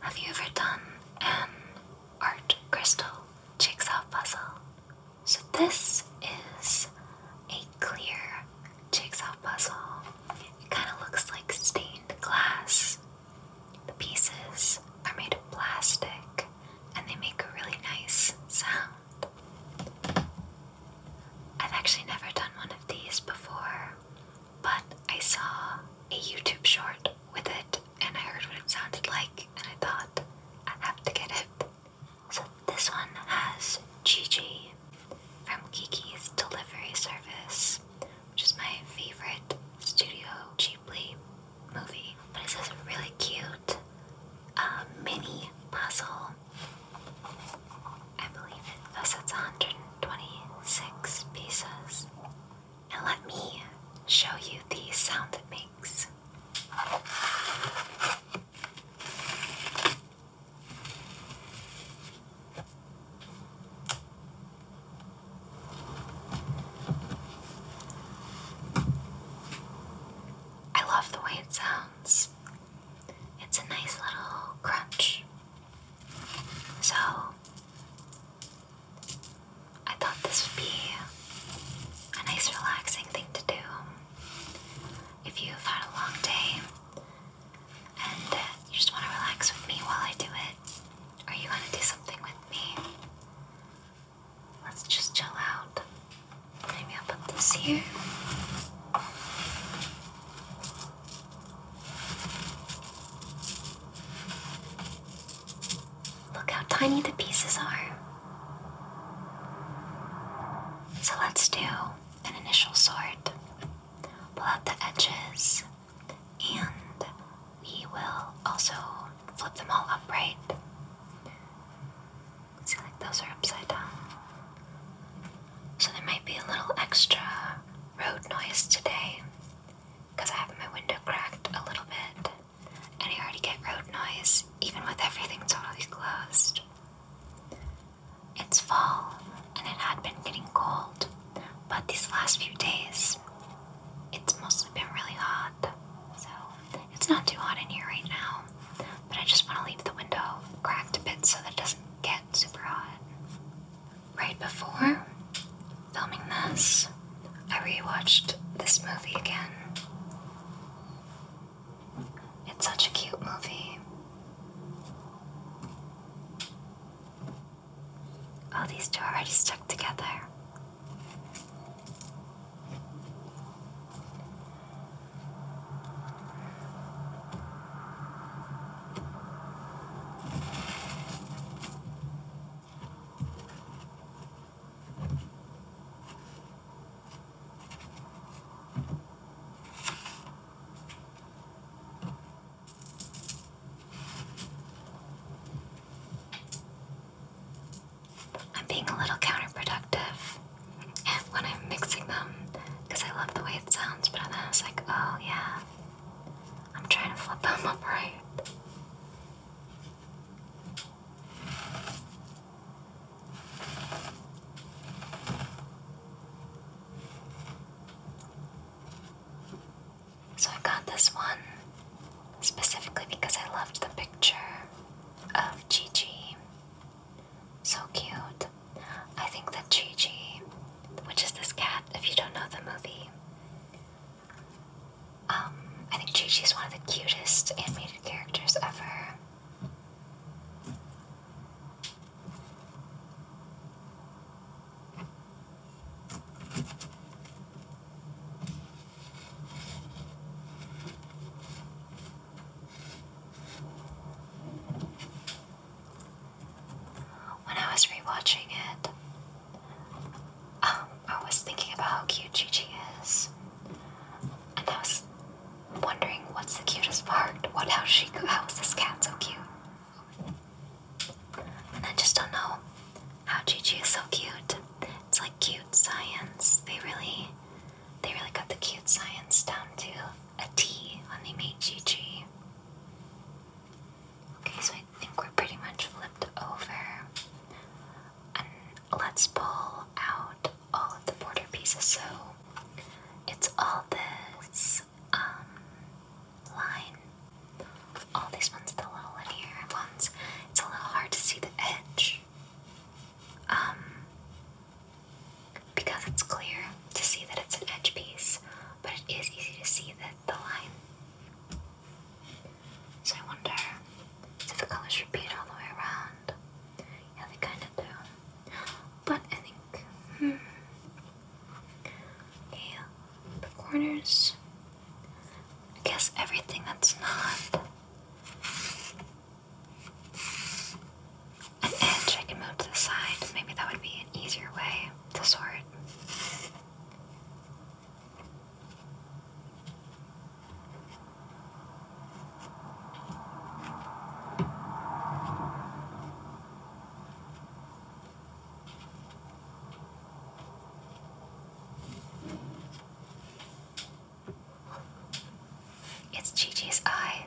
Have you ever done an art crystal jigsaw puzzle? So, this is a clear jigsaw puzzle. It kind of looks like stained glass. The pieces are made of plastic and they make a really nice sound. I've actually never done one of these before, but I saw a YouTube short with it and I heard what it sounded like and I thought I have to get it. So this one has Gigi from Kiki's Delivery Service, which is my favorite Studio Ghibli movie. But it's this really cute uh, mini puzzle. I believe it thus it's 126 pieces and let me show you the sound it makes. I love the way it sounds. It's a nice little crunch. So, I thought this would be a nice, relaxing thing to do. If you've had a long day and you just want to relax with me while I do it, Are you going to do something with me, let's just chill out. Maybe I'll put this here. Look how tiny the pieces are. So let's do an initial sort. Pull out the edges, and we will also flip them all upright. See, like those are upside down. So there might be a little extra road noise today because I have my window cracked a little bit, and I already get road noise even with everything totally closed. It's fall, and it had been getting cold, but these last few days, it's mostly been really hot. So it's not too hot in here right now, but I just want to leave the window cracked a bit so that it doesn't get super hot right before filming this, I rewatched this movie again. It's such a cute movie. Oh, these two are already stuck together. I'm being a little counterproductive when I'm mixing them because I love the way it sounds, but then I was like, oh yeah, I'm trying to flip them upright. So I got this one specifically because I loved the picture of Gigi. So cute. I think that Gigi, which is this cat, if you don't know the movie, um, I think Gigi is one of the cutest animated characters ever. When I was rewatching it, um, I was thinking about how cute Gigi is, and I was wondering what's the cutest part. What? How she? How is this cat so cute? And I just don't know how Gigi is so cute. It's like cute science. They really, they really got the cute science down to a T when they made Gigi. Okay, so I think we're pretty much flipped over. And let's pull out all of the border pieces. So it's all this um, line. All these ones, the little linear ones. It's a little hard to see the edge. Um, because it's clear to see that it's an edge piece, but it is easy to see that the line. So I wonder if the colors repeat all the way around. Yeah, they kind of do. But I think, hmm, yeah, the corners. I guess everything that's not an edge I can move to the side. Maybe that would be an easier way to sort. It's Gigi's eye.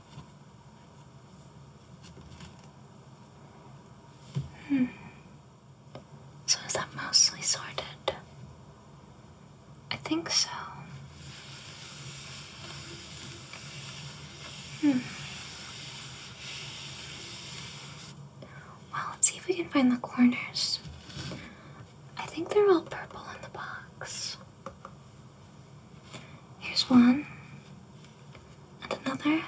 Hmm. So is that mostly sorted? I think so. Hmm. Well, let's see if we can find the corners. I think they're all purple in the box. Here's one, and another.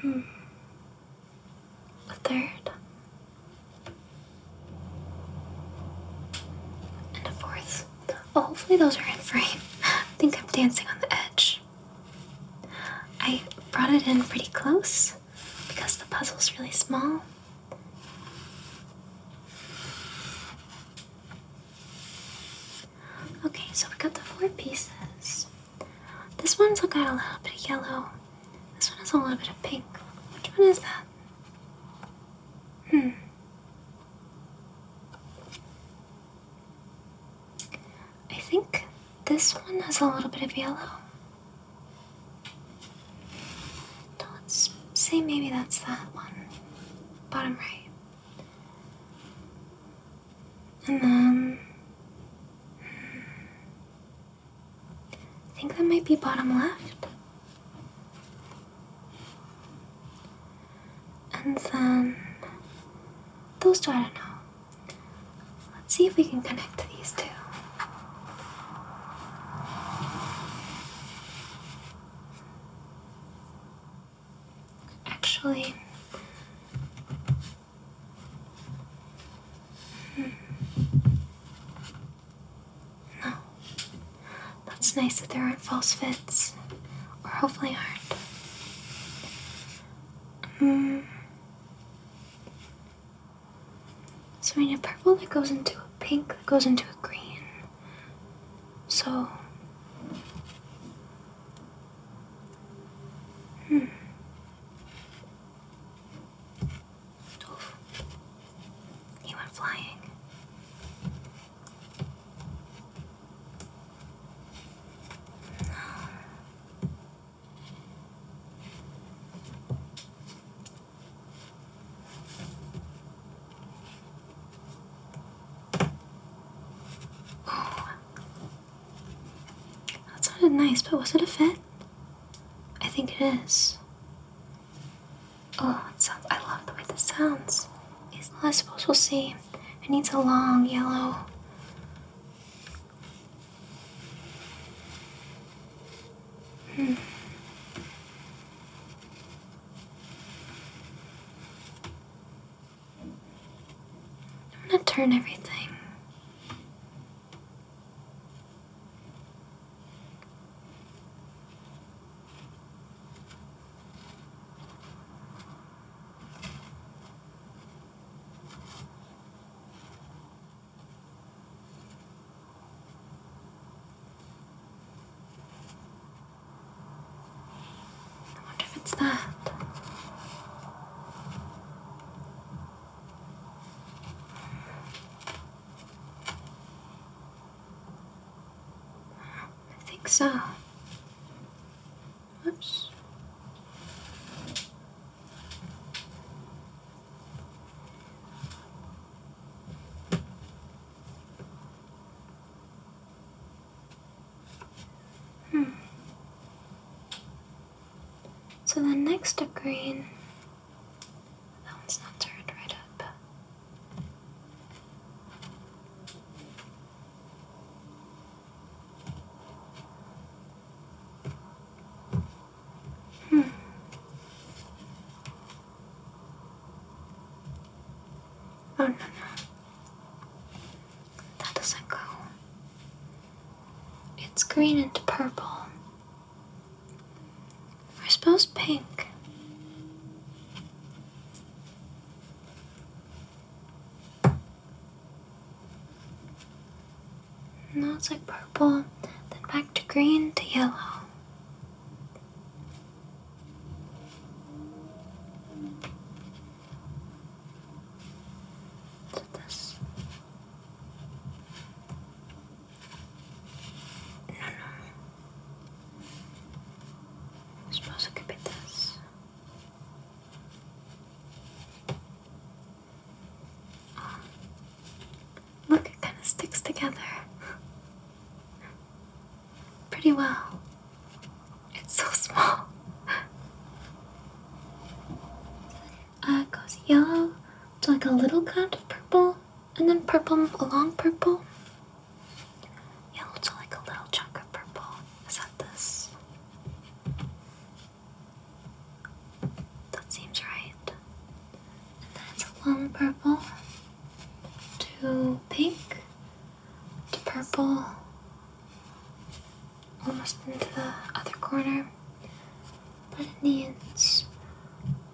Hmm. A third. And a fourth. Oh, hopefully those are in frame. I think I'm dancing on the edge. I brought it in pretty close because the puzzle's really small. Okay, so we got the four pieces. This one's got a little bit of yellow. This one has a little bit of pink. Which one is that? Hmm. I think this one has a little bit of yellow. let's say maybe that's that one. Bottom right. And then um, I think that might be bottom left. And then those two, I don't know. Let's see if we can connect these two. Actually, hmm. no. That's nice that there aren't false fits, or hopefully aren't. Mm. So we need a purple that goes into a pink that goes into a green. So. Hmm. Oof. He went flying. That sounded nice, but was it a fit? I think it is. Oh, it sounds. I love the way this sounds. I suppose we'll see. It needs a long yellow. Hmm. I'm gonna turn everything I wonder if it's that. I think so. Oops. Hmm. So the next green, that one's not turned right up. Hmm. Oh no no. That doesn't go. It's green and purple. I suppose pink. No, it's like purple, then back to green to yellow this. No, no. Yo pienso que petas. Oh. Look, it kind of sticks together. pretty well. It's so small. Uh, it goes yellow to like a little kind of purple, and then purple a long purple. Yellow to like a little chunk of purple. Is that this? That seems right. And then it's a long purple to pink, to purple, almost into the other corner, but it needs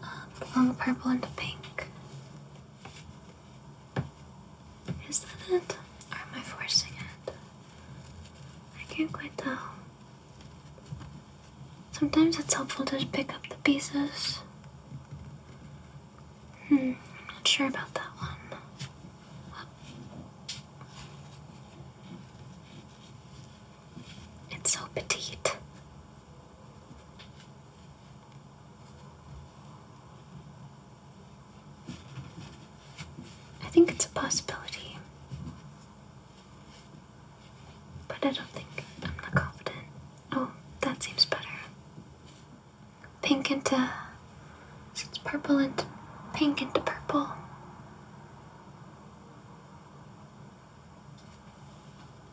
a um, long purple into pink. Is that it? am I forcing it? I can't quite tell. Sometimes it's helpful to pick up the pieces Hmm, I'm not sure about that one. It's so petite. I think it's a possibility. But I don't think I'm not confident. Oh, that seems better pink into so purple into pink into purple.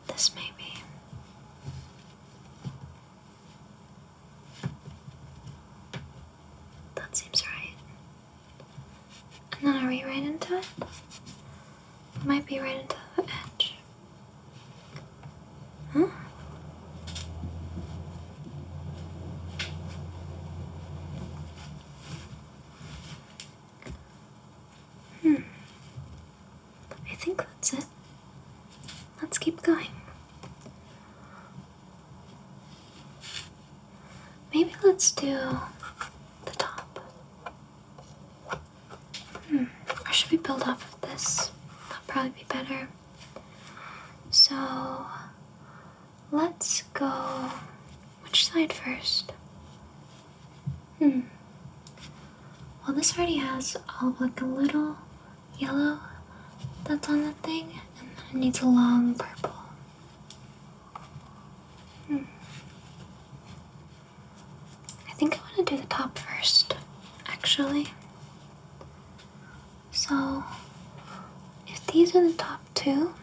This maybe. That seems right. And then I we right into it? might be right into the edge. Huh? Hmm. I think that's it. Let's keep going. Maybe let's do the top. Hmm. Or should we build off of this? That'll probably be better. So let's go. Which side first? Hmm. Well, this already has all of like a little yellow that's on that thing, and then it needs a long purple. Hmm. I think I want to do the top first, actually. So, if these are the top two,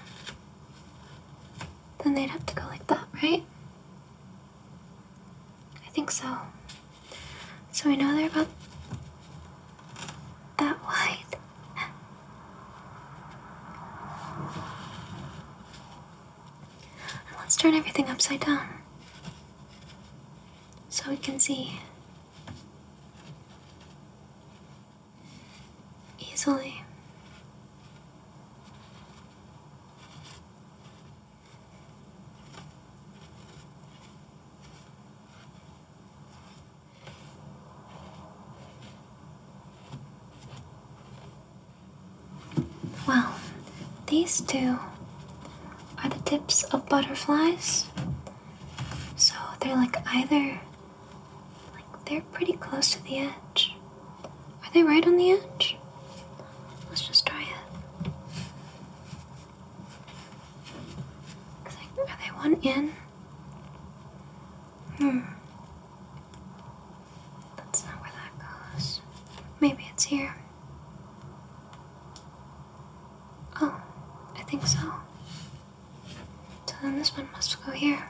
then they'd have to go like that, right? I think so. So we know they're about that wide. let's turn everything upside down so we can see easily. Well, these two are the tips of butterflies so they're like either like they're pretty close to the edge. Are they right on the edge? Let's just try it. are they one in? Hmm. That's not where that goes. Maybe it's here. Oh, I think so. then this one must go here.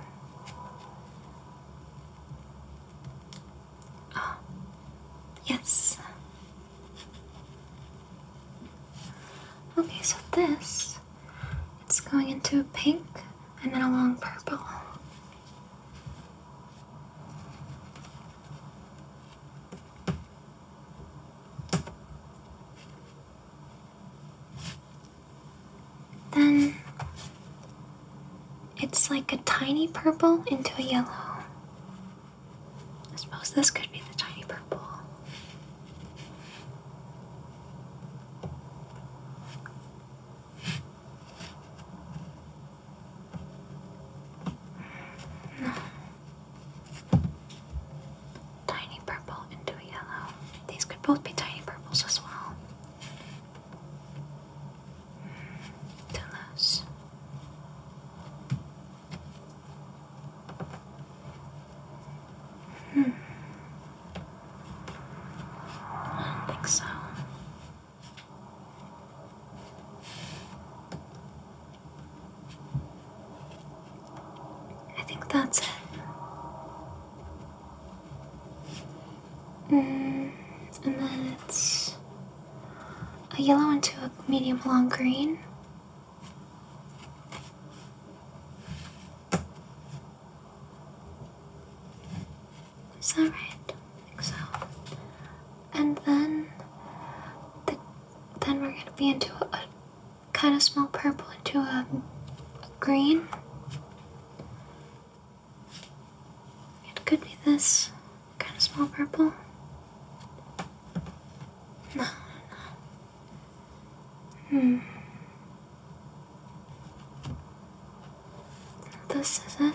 Oh, yes. Okay, so this, it's going into a pink and then a long purple. Then it's like a tiny purple into a yellow. I suppose this could be the tiny purple. No. Hmm. Tiny purple into a yellow. These could both be tiny purples as well. Mm, Hmm. I don't think so. I think that's it. Mm, and then it's a yellow into a medium long green. Is that right? I think so. And then, the, then we're gonna be into a, kind of small purple into a green. It could be this kind of small purple. No, no. Hmm. This is it.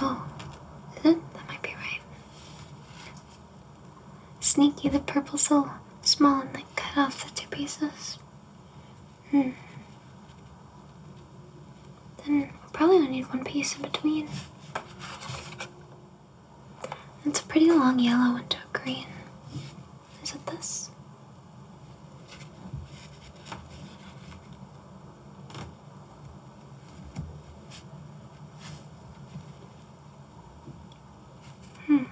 Oh, is it? That might be right. Sneaky the purple so small and then cut off the two pieces. Hmm. Then probably only need one piece in between. It's a pretty long yellow into a green. Is it this? Hmm.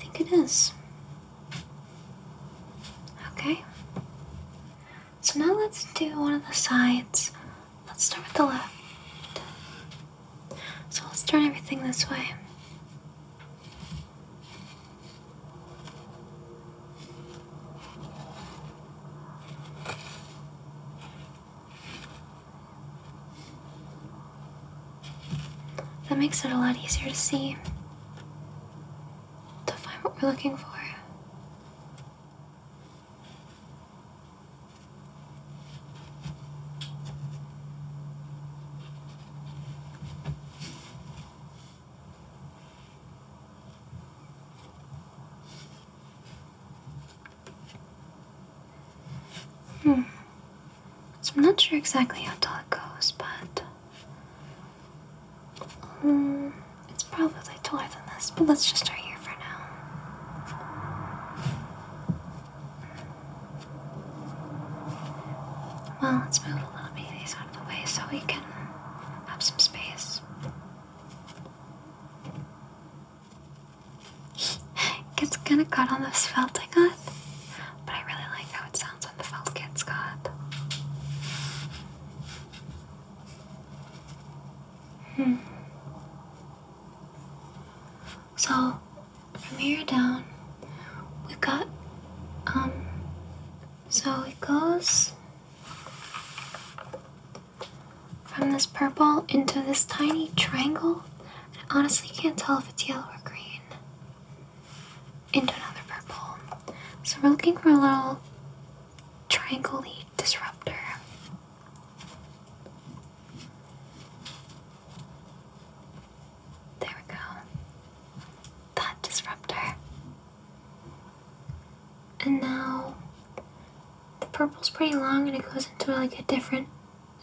I think it is. Okay. So now let's do one of the sides. Let's start with the left. So let's turn everything this way. That makes it a lot easier to see, to find what we're looking for. Hmm. I'm not sure exactly how tall it goes, but Hmm, it's probably taller than this, but let's just start here for now. Well, let's move a little bit of these out of the way so we can have some space. It's kind of caught on this felt I guess, but I really like how it sounds when the felt gets caught. Hmm. So, from here down, we've got, um, so it goes from this purple into this tiny triangle. I honestly can't tell if it's yellow or green. Into another purple. So we're looking for a little Triangle Disruptor. There we go. That disruptor. And now the purple's pretty long and it goes into like a different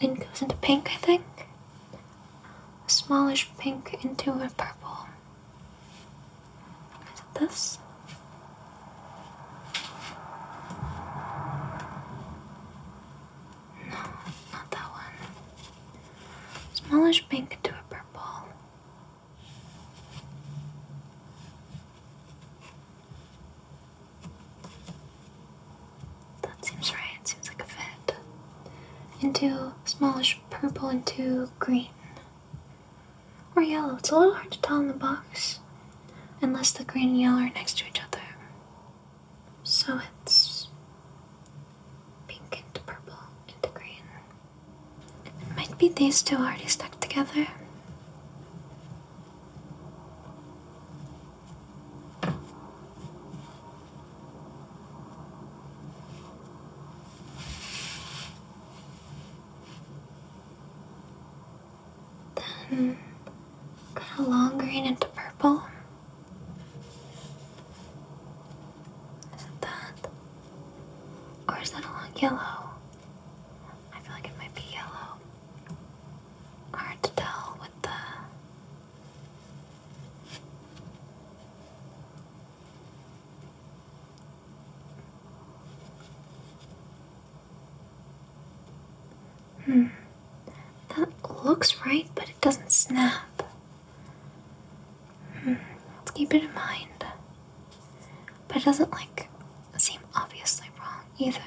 it goes into pink, I think. A smallish pink into a purple. Is it this? not that one. Smallish pink into a purple. That seems right, seems like a fit. Into smallish purple into green or yellow. It's a little hard to tell in the box unless the green and yellow are next to each other. So it's pink into purple into green. It might be these two already stuck together. Then got a long green into purple. Is it that? Or is that a long yellow? I feel like it might be yellow. Hard to tell with the Hmm. That looks right, but it doesn't snap. Hmm. Let's keep it in mind. But it doesn't like seem obviously wrong either.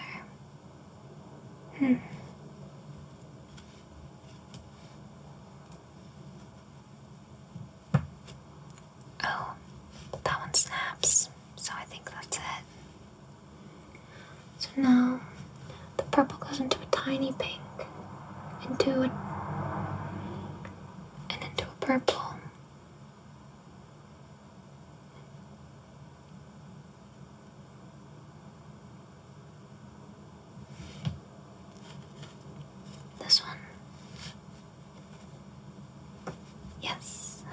Hmm. Oh, that one snaps, so I think that's it. So now the purple goes into a tiny pink, into a and into a purple. This one Yes.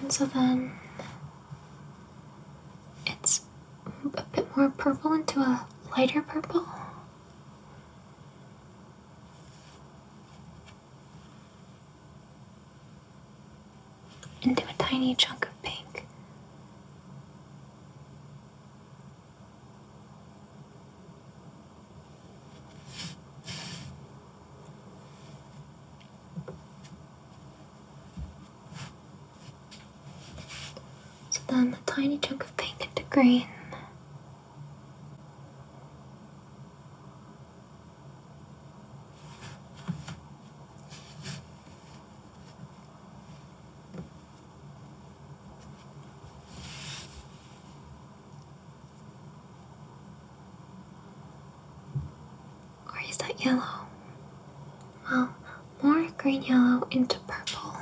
And so then it's a bit more purple into a lighter purple into a tiny chunk of pink. So then the tiny chunk of pink into green. Or is that yellow? Well, more green yellow into purple.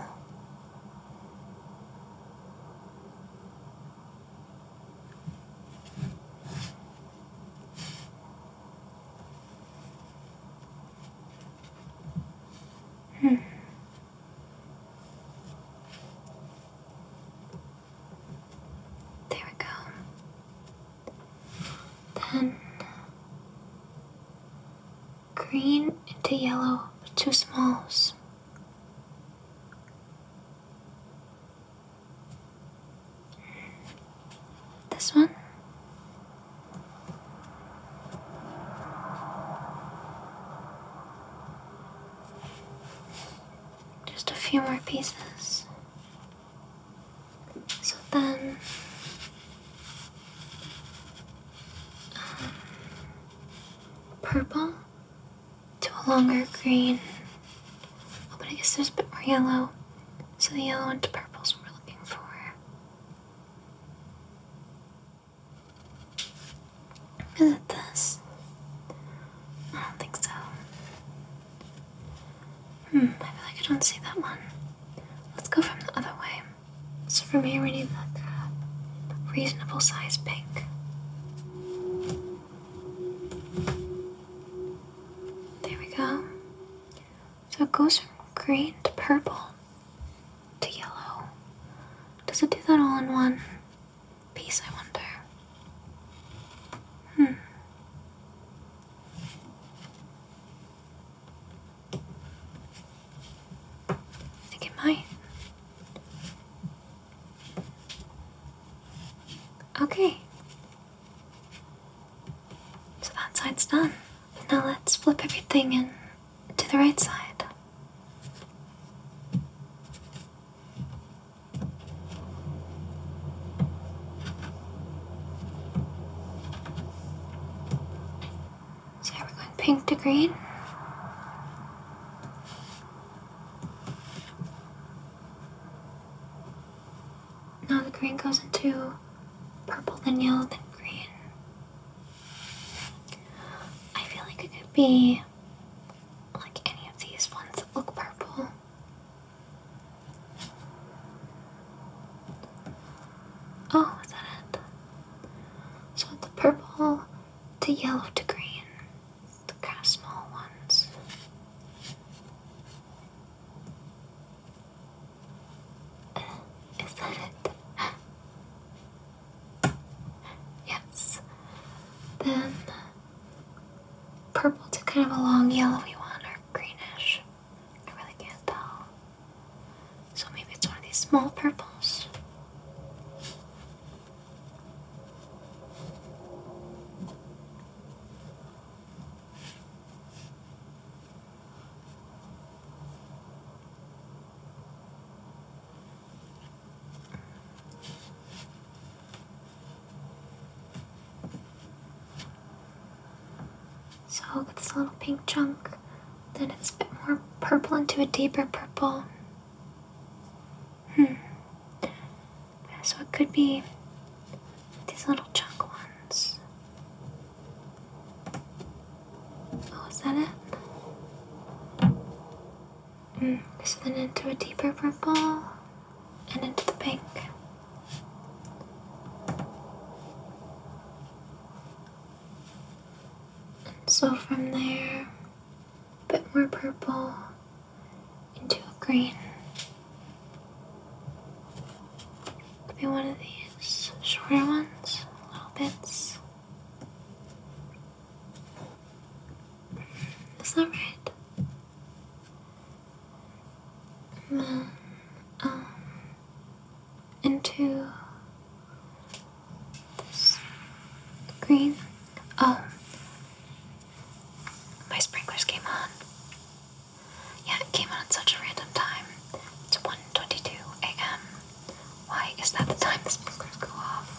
Hmm. There we go. Then green into yellow, but two smalls. This one? Just a few more pieces. So then. Um, purple to a longer green. but I guess there's a bit more yellow. So the yellow and purples we're looking for. Is it this? I don't think so. Hmm, I feel like I don't see that one. Let's go from the other way. So from here we need that crab. Reasonable size pink. There we go. So it goes from green to purple to yellow. Does it do that all in one piece, I wonder? Hmm. I think it might. Okay. So that side's done. Now let's flip everything in to the right side. So we're going pink to green. Now the green goes into purple, then yellow, then green. I feel like it could be like any of these ones that look purple. Oh, is that it? So the purple to yellow to green, the small ones. Is that it? Yes. Then purple to kind of a long yellowy one or greenish. I really can't tell. So maybe it's one of these small purples. So look at this little pink chunk, then it's a bit more purple into a deeper purple. Hmm. So it could be these little chunk ones. Oh, is that it? Mm. So then into a deeper purple and into the pink. And so from there, a bit more purple into a green. Could be one of these shorter ones, little bits. Is that right? And then, um, into green. Oh, my sprinklers came on. Yeah, it came on at such a random time. It's 1.22 a.m. Why is that the time the sprinklers go off?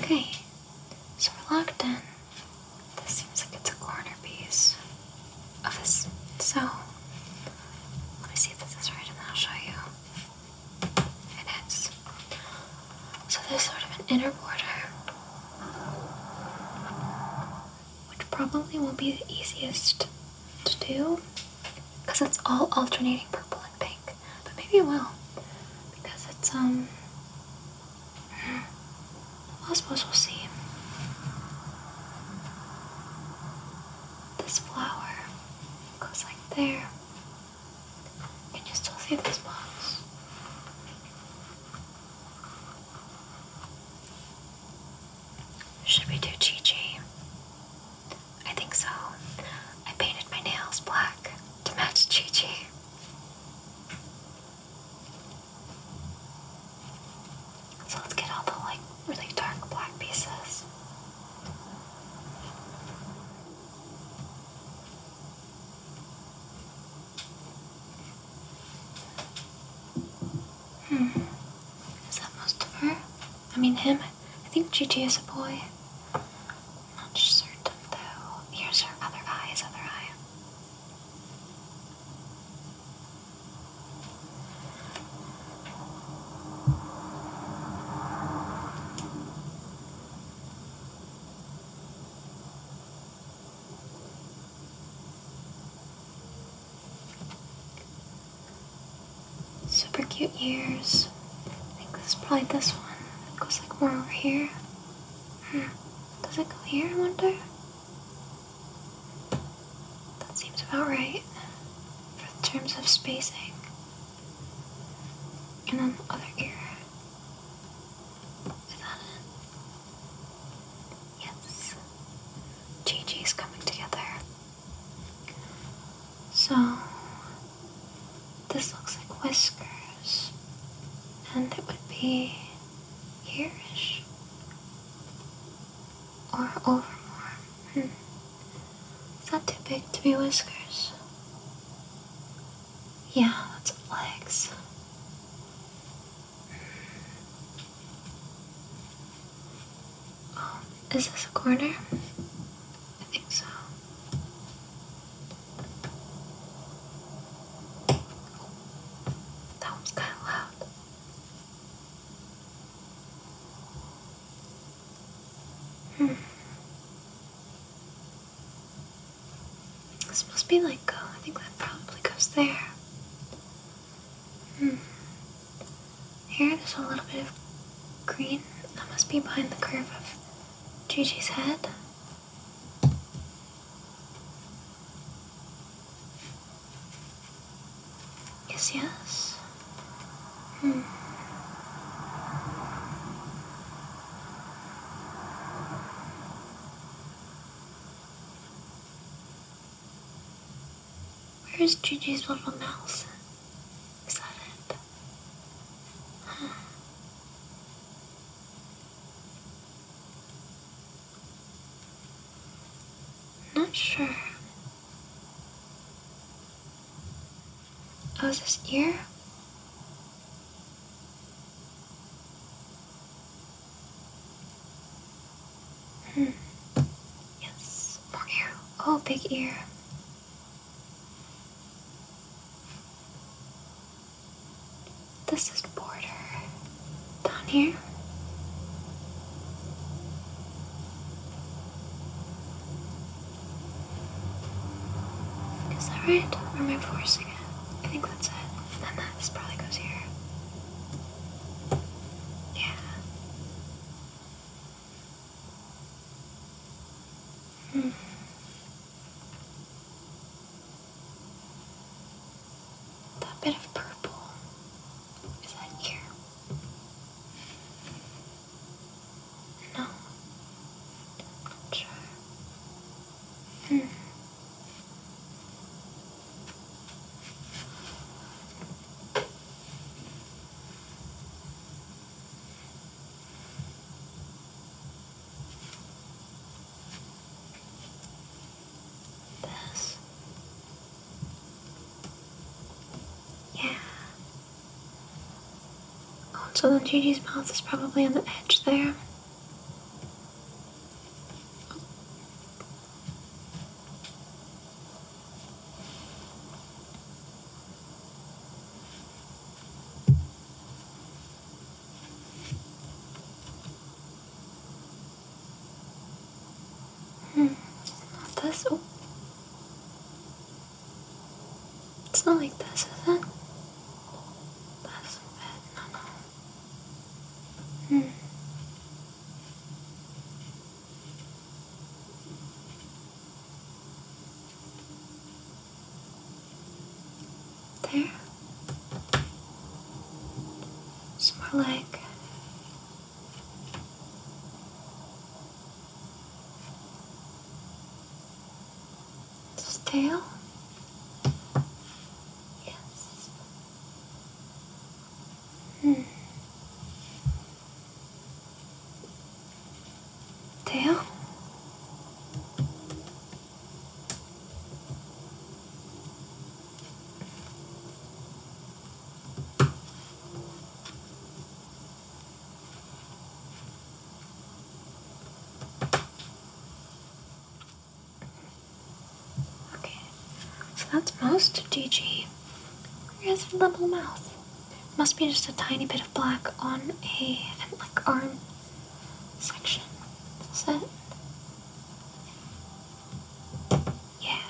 Okay, so we're locked in. This seems like it's a corner piece of this cell. Let me see if this is right and I'll show you. It is. So there's sort of an inner border, which probably won't be the easiest to do because it's all alternating purple and pink. But maybe it will because it's, um, I suppose we'll see. This flower goes like there. Can you still see these spots? Should we do Chi I think so. I painted my nails black to match Chi Chi. So let's get all the like really dark black pieces. Hmm. Is that most of her? I mean him. I think Gigi is a boy. not certain though. Here's her other eye, his other eye. Super cute ears. I think this is probably this one. It goes like more over here. Hmm. Does it go here, I wonder? That seems about right for the terms of spacing. And then the other ear. Is that it? Yes. JJ's coming together. So, this looks like whiskers, and it would be here or over more. Hmm. It's not too big to be whiskers. Yeah, that's legs. Um, is this a corner? I think so. that was kind of loud. Hmm. This must be like, uh, I think that probably goes there. Hmm. Here there's a little bit of green that must be behind the curve of Gigi's head. Yes, yes. Hmm. Where is Gigi's little mouse? Is that it? Not sure. Oh, is this ear? Hmm. Yes, more ear. Oh, big ear. This is border down here. Is that right? Or am I forcing it? I think that's it. And that just probably goes here. Yeah. Hmm. That bit of purple is that ear. No, i Hmm. This. Yeah. Also, the Gigi's mouth is probably on the edge there. Hmm, not this. Oh. It's not like this, is it? That's bad. no. Hmm. There. It's more like its tail. Yes. Hmm. Dale? Okay, so that's most DG. Where's the little mouth? Must be just a tiny bit of black on a like arm section. Is that? Yeah.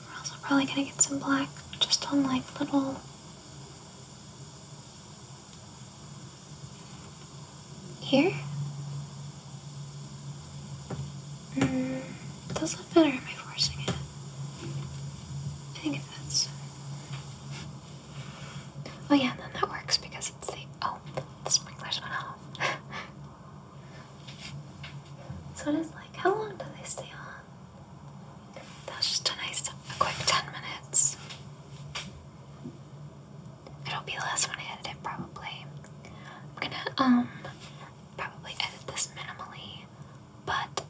We're also probably gonna get some black just on like little here? Mm, it does look better am I forcing it. I think if that's... Oh yeah, then that works because it's the... Oh, the sprinklers went off. so it is like, how long do they stay on? That was just a nice, a quick 10 minutes. It'll be the last one I edit probably. I'm gonna um probably edit this minimally, but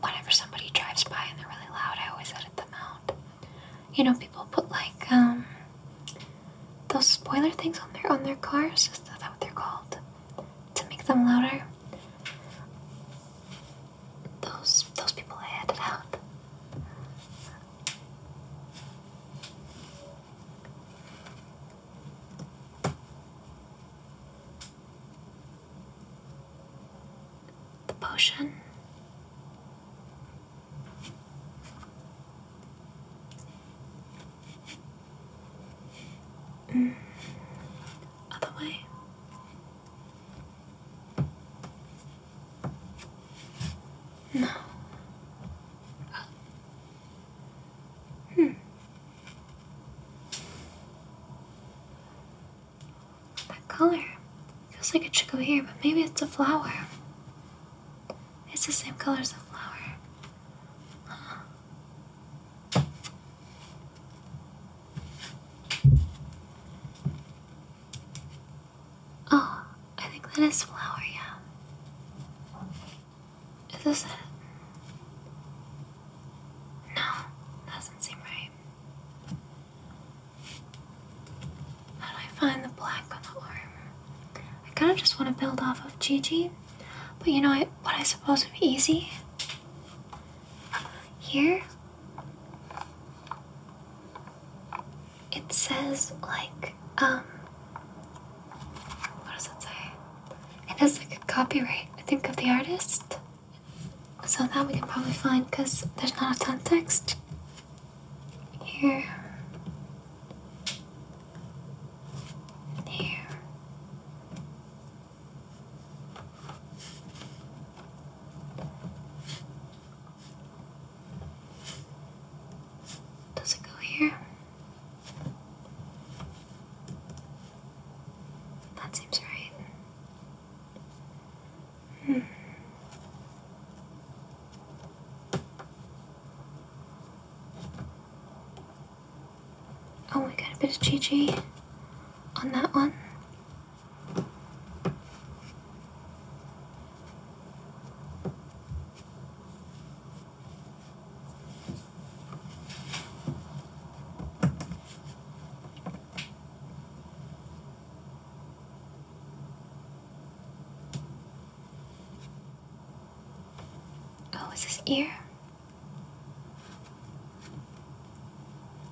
whenever somebody drives by and they're really loud, I always edit them out. You know, people put like um those spoiler things on their on their cars. Is that what they're called? To make them louder. Those those people I edit out. The potion. Mm. Other way. No. Hmm. That color feels like it should go here, but maybe it's a flower. It's the same color as a flower. Oh, I think that is flower, yeah. Is this it? No, doesn't seem right. How do I find the black on the arm? I kind of just want to build off of Gigi, but you know what, what I suppose would be easy? Here? it says like um what does it say? It has like a copyright, I think, of the artist. So that we can probably find because there's not a ton of text here. Here. Does it go here? That seems right. Hmm. Oh, we got a bit of GG on that one. Oh, is this ear?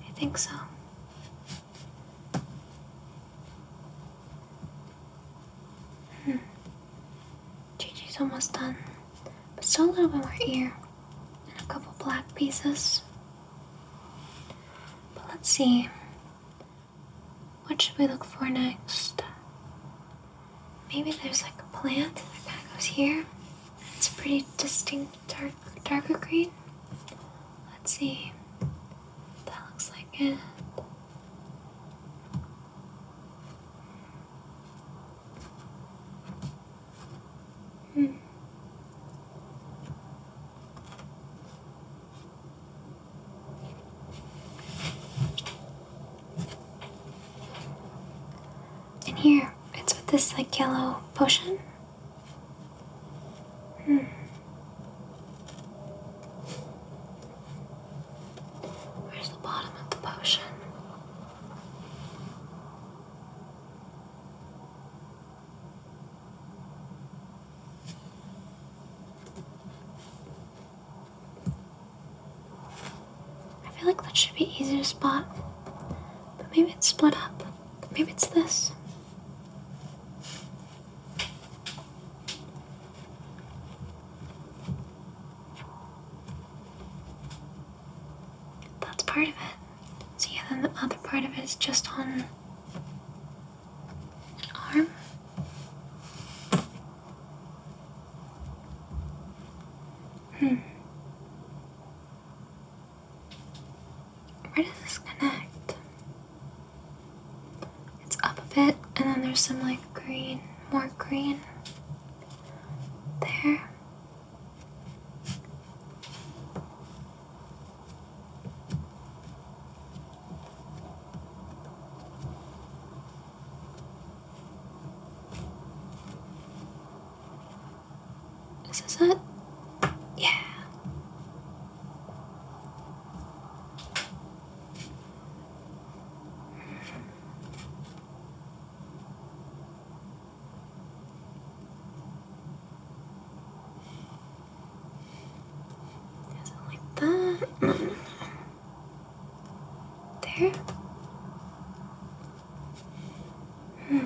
I think so. Hmm. Gigi's almost done, but still a little bit more here, and a couple black pieces. But let's see. What should we look for next? Maybe there's like a plant that kind of goes here. It's pretty distinct dark, darker green. Let's see. That looks like it. Hmm. And here, it's with this like yellow potion. Hmm. Where's the bottom of the potion? I feel like that should be easier to spot, but maybe it's split up. Maybe it's this. That's part of it. So yeah, then the other part of it is just on arm. Hmm. Where does this connect? It's up a bit, and then there's some like green, more green there. Is this it? Yeah. Hmm. Doesn't like that. there. Hmm.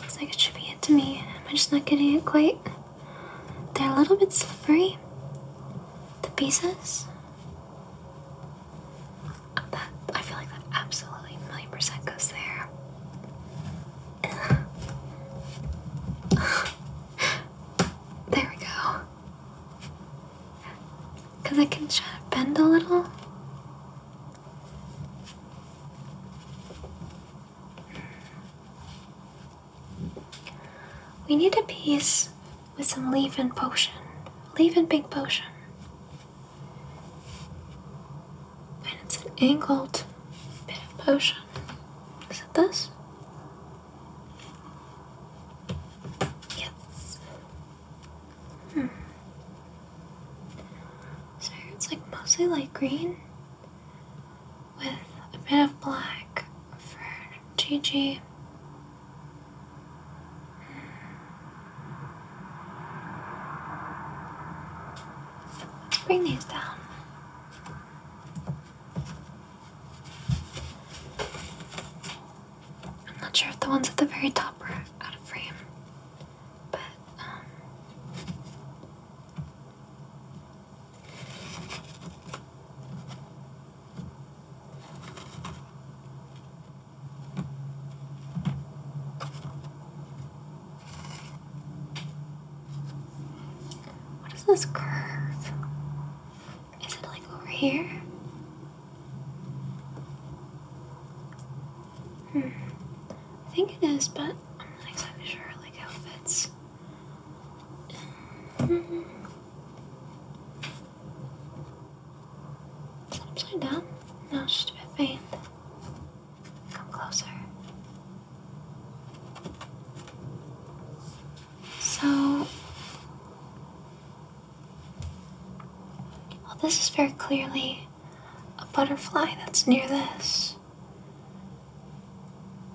Looks like it should be it to me. Am I just not getting it quite? They're a little bit slippery. The pieces. I feel like that absolutely million percent goes there. There we go. Because I can try bend a little. We need a piece with some leave-in potion. Leave-in big potion. And it's an angled bit of potion. Is it this? Yes. Hmm. So it's like mostly light green with a bit of black for Gigi. Hmm. let bring these down. I'm not sure if the ones at the very top are out of frame, but um, what is this curve? Is it like over here? Hmm. I think it is, but I'm not exactly sure like how it fits. -hmm. upside down? No, it's a bit faint. Come closer. So, this is very clearly a butterfly that's near this.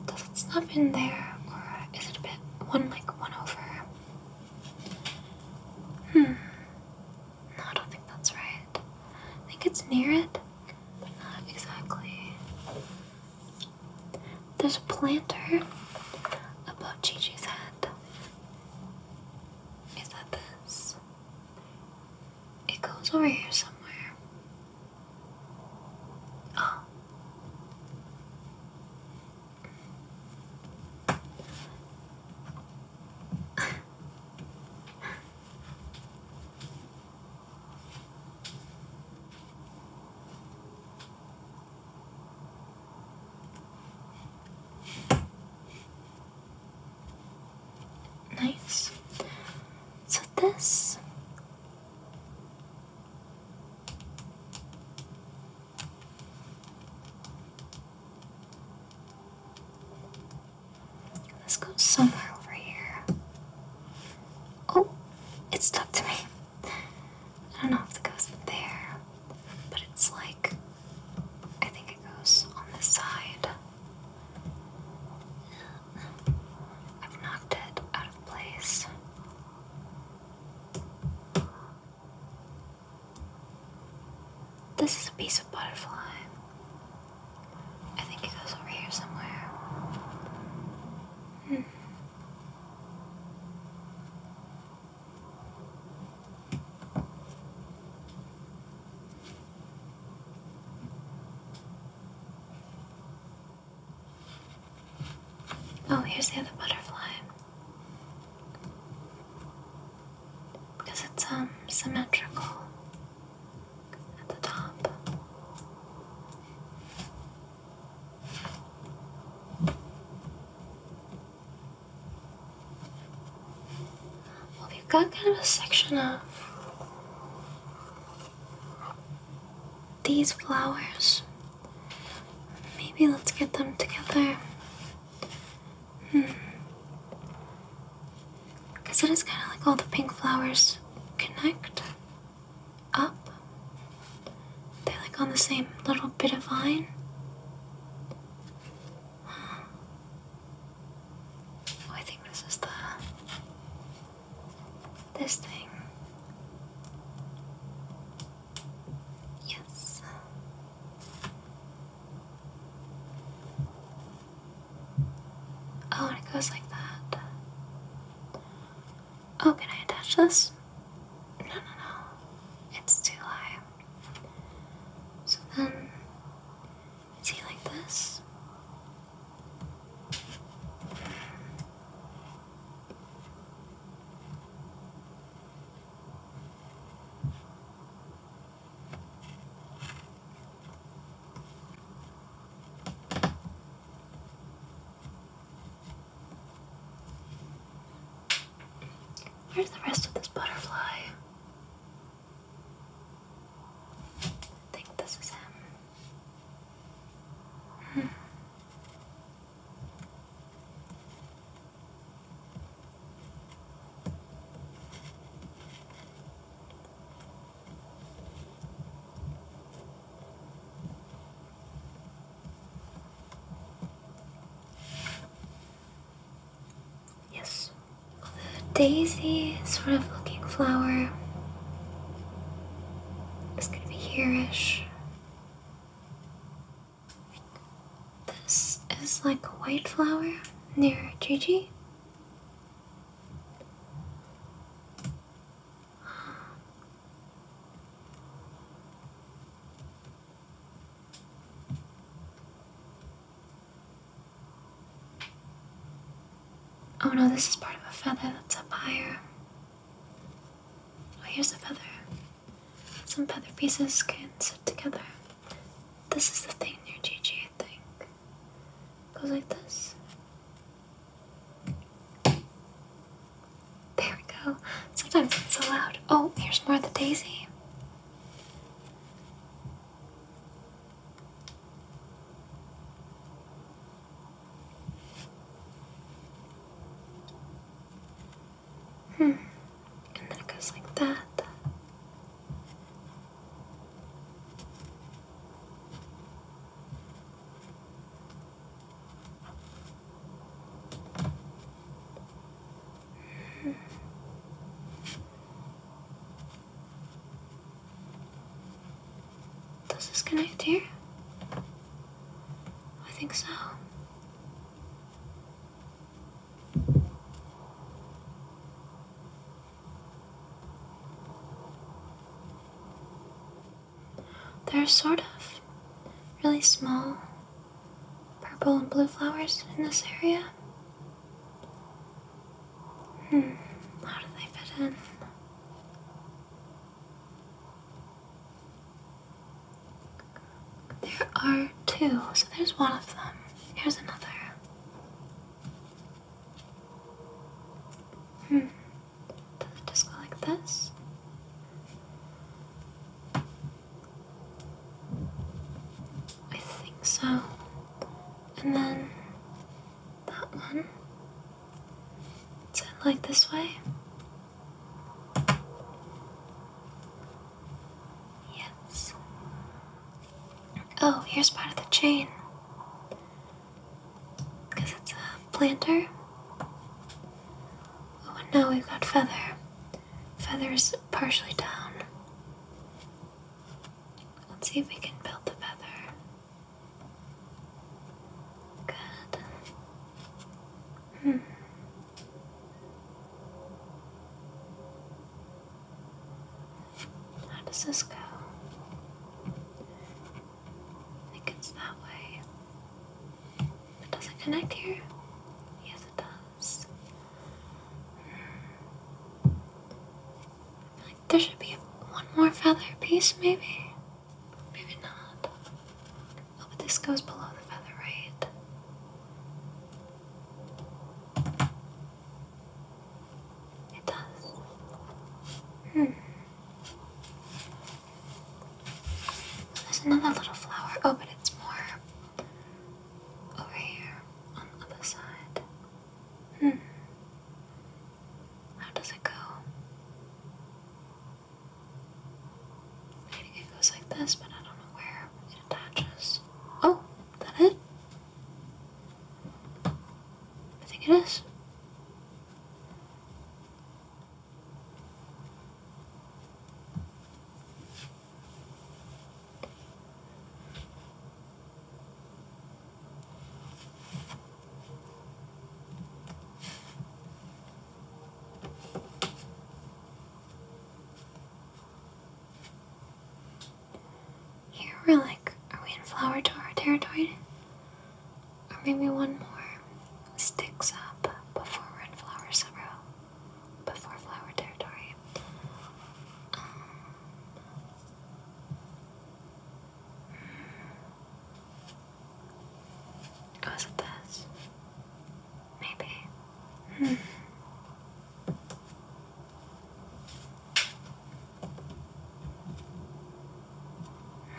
Because it's not been there, or is it a bit one like one over? Hmm. No, I don't think that's right. I think it's near it not exactly. There's a planter above Gigi's head. Is that this? It goes over here somewhere. Oh. Nice. So this Let's go somewhere over here. Oh, it's stuck to me. I don't know if it goes there, but it's like, I think it goes on this side. I've knocked it out of place. This is a piece of butterfly. I think it goes over here somewhere. Hmm. Oh, here's the other butterfly. Because it's um symmetrical at the top. Well, we've got kind of a section of these flowers. Maybe let's get them together. Hmm. Because it is kind of like all the pink flowers connect up. They're like on the same little bit of vine. Oh, I think this is the this thing. Yes. Oh, and it goes like that. Oh, can I attach this? No, no, no. It's too high. So then, is he like this? Where's the rest of this butterfly? I think this is him. Hmm. Yes, the daisy sort of looking flower is going to be here This is like a white flower near Gigi. Oh no, this is part of a feather that's up higher. Oh, here's a feather. Some feather pieces can sit together. This is the thing near GG I think goes like this. There we go. Sometimes it's so loud. Oh, here's more of the daisy. Hmm. And then it goes like that. Does this connect here? I think so. There are sort of really small purple and blue flowers in this area. Hmm, how do they fit in? There are two, so there's one of them. Here's another. Hmm. Does it just go like this? I think so. And then that one. Is it like this way? Yes. Oh, here's part of the chain because it's a planter. Oh, and now we've got feather. Feather is partially down. Let's see if we can build the feather. Good. Hmm. How does this go? I think it's that way. It doesn't connect here? Yes, it does. Hmm. I feel like there should be one more feather piece, maybe? Maybe not. Oh, but this goes below the feather, right? It does. Hmm. There's another little flower. Oh, but it's more over here on the other side. Hmm. How does it go? I it goes like this, but I don't know where it attaches. Oh, is that it? I think it is. Here we're like, are we in flower territory? Or maybe one more sticks up before we're in flower several, before flower territory. Um, it this? Maybe. Hmm.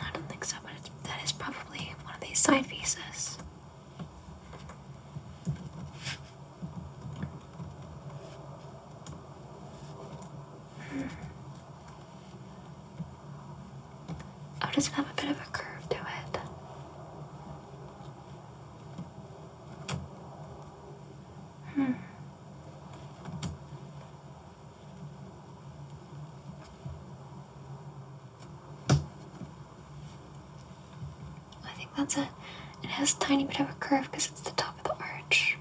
I don't think so, but it's, that is probably one of these side pieces. Hmm. Oh, it have a bit of a curve to it. Hmm. I think that's it. It has a tiny bit of a curve because it's the top of the arch.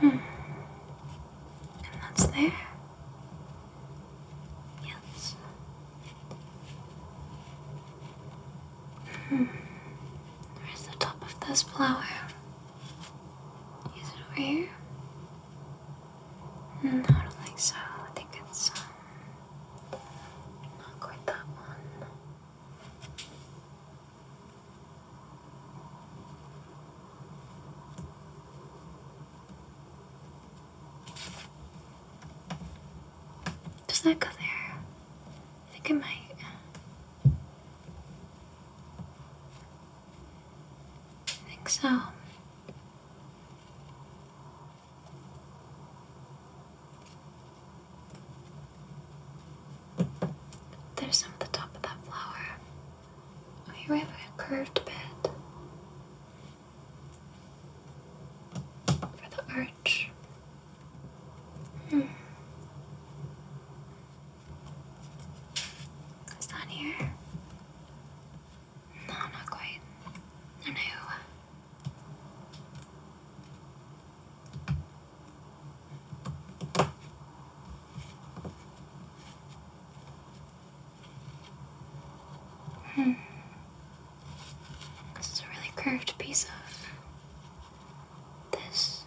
Hmm. And that's there. Yes. Hmm. Where's the top of this flower? Is it over here? No, I don't think so. I think it's um, not quite that one. Does that go there? I think it might. I think so. There's some at the top of that flower. Oh, here we have a curved bit for the arch. Hmm. It's not here. No, not quite. no. Hmm. This is a really curved piece of this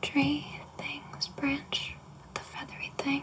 tree thing's branch with the feathery thing.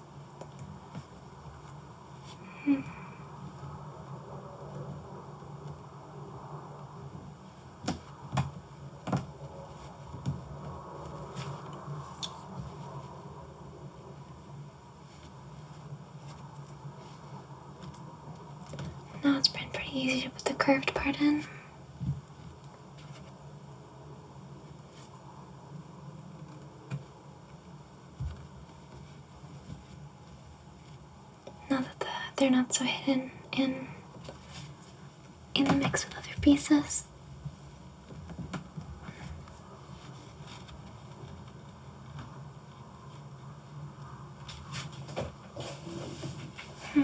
Hmm. Now it's been pretty easy to put the curved part in. Now that they're not so hidden in in the mix with other pieces. Hmm.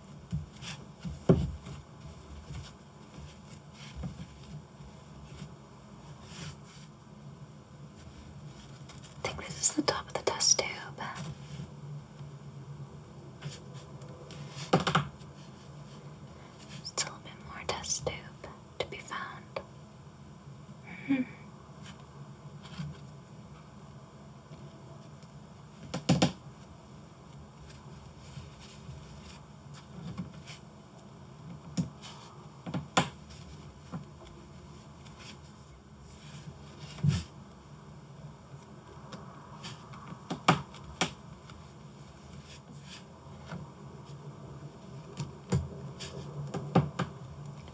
I think this is the top of the test tube. Still a bit more test tube to be found. Hmm.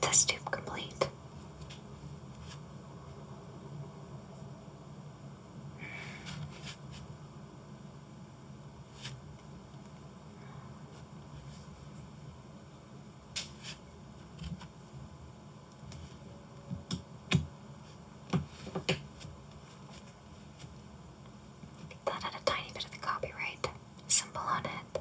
Test tube complete. That had a tiny bit of the copyright symbol on it.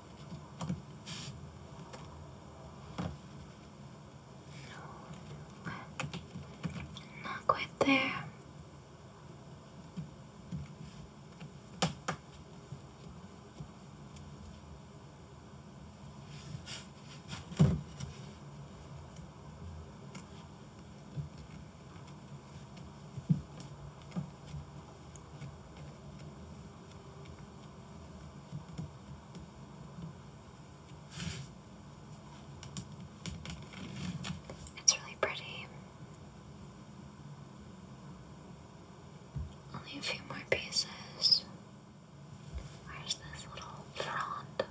not quite there. It's really pretty. Only a few more pieces. Where's this little frond?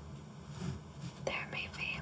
There, maybe.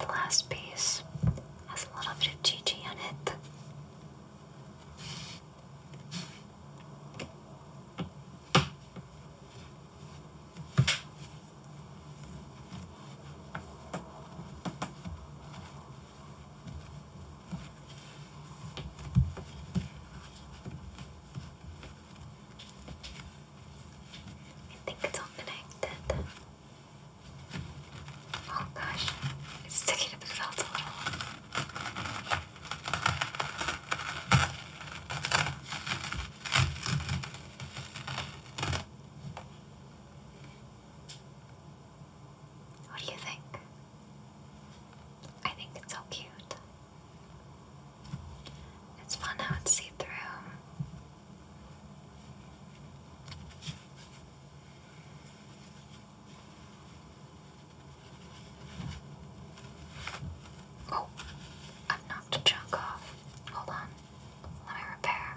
The last piece has a little bit of GG on it. I think it's all Oh gosh, it's sticking to the felt a little. What do you think? I think it's so cute. It's fun how it's see through. Oh, I've knocked a chunk off. Hold on. Let me repair.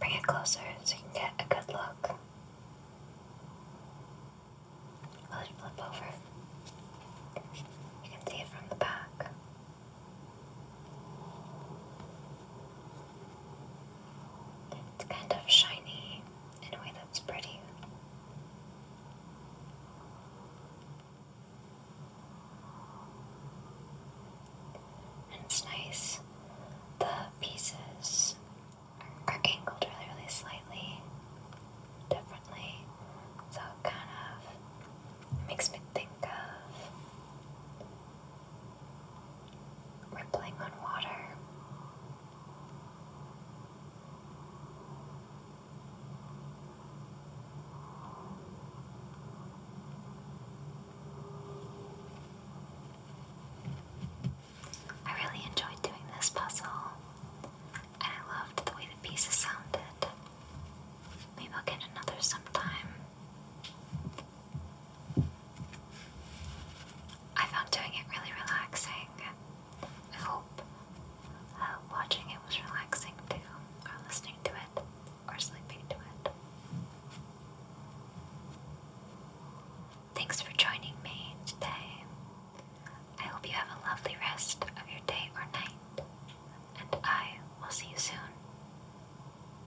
bring it closer so you can get a good look. Will it flip over? You can see it from the back. It's kind of shiny in a way that's pretty. And it's nice. The pieces are angled really, really slightly differently, so kind of makes me think of rippling on water. I really enjoyed doing this puzzle, and I loved the way the pieces sounded. Maybe I'll get another sometime. I found doing it really relaxing. I hope uh, watching it was relaxing too, or listening to it, or sleeping to it. Thanks for joining me today. I hope you have a lovely rest of your day or night, and I will see you soon.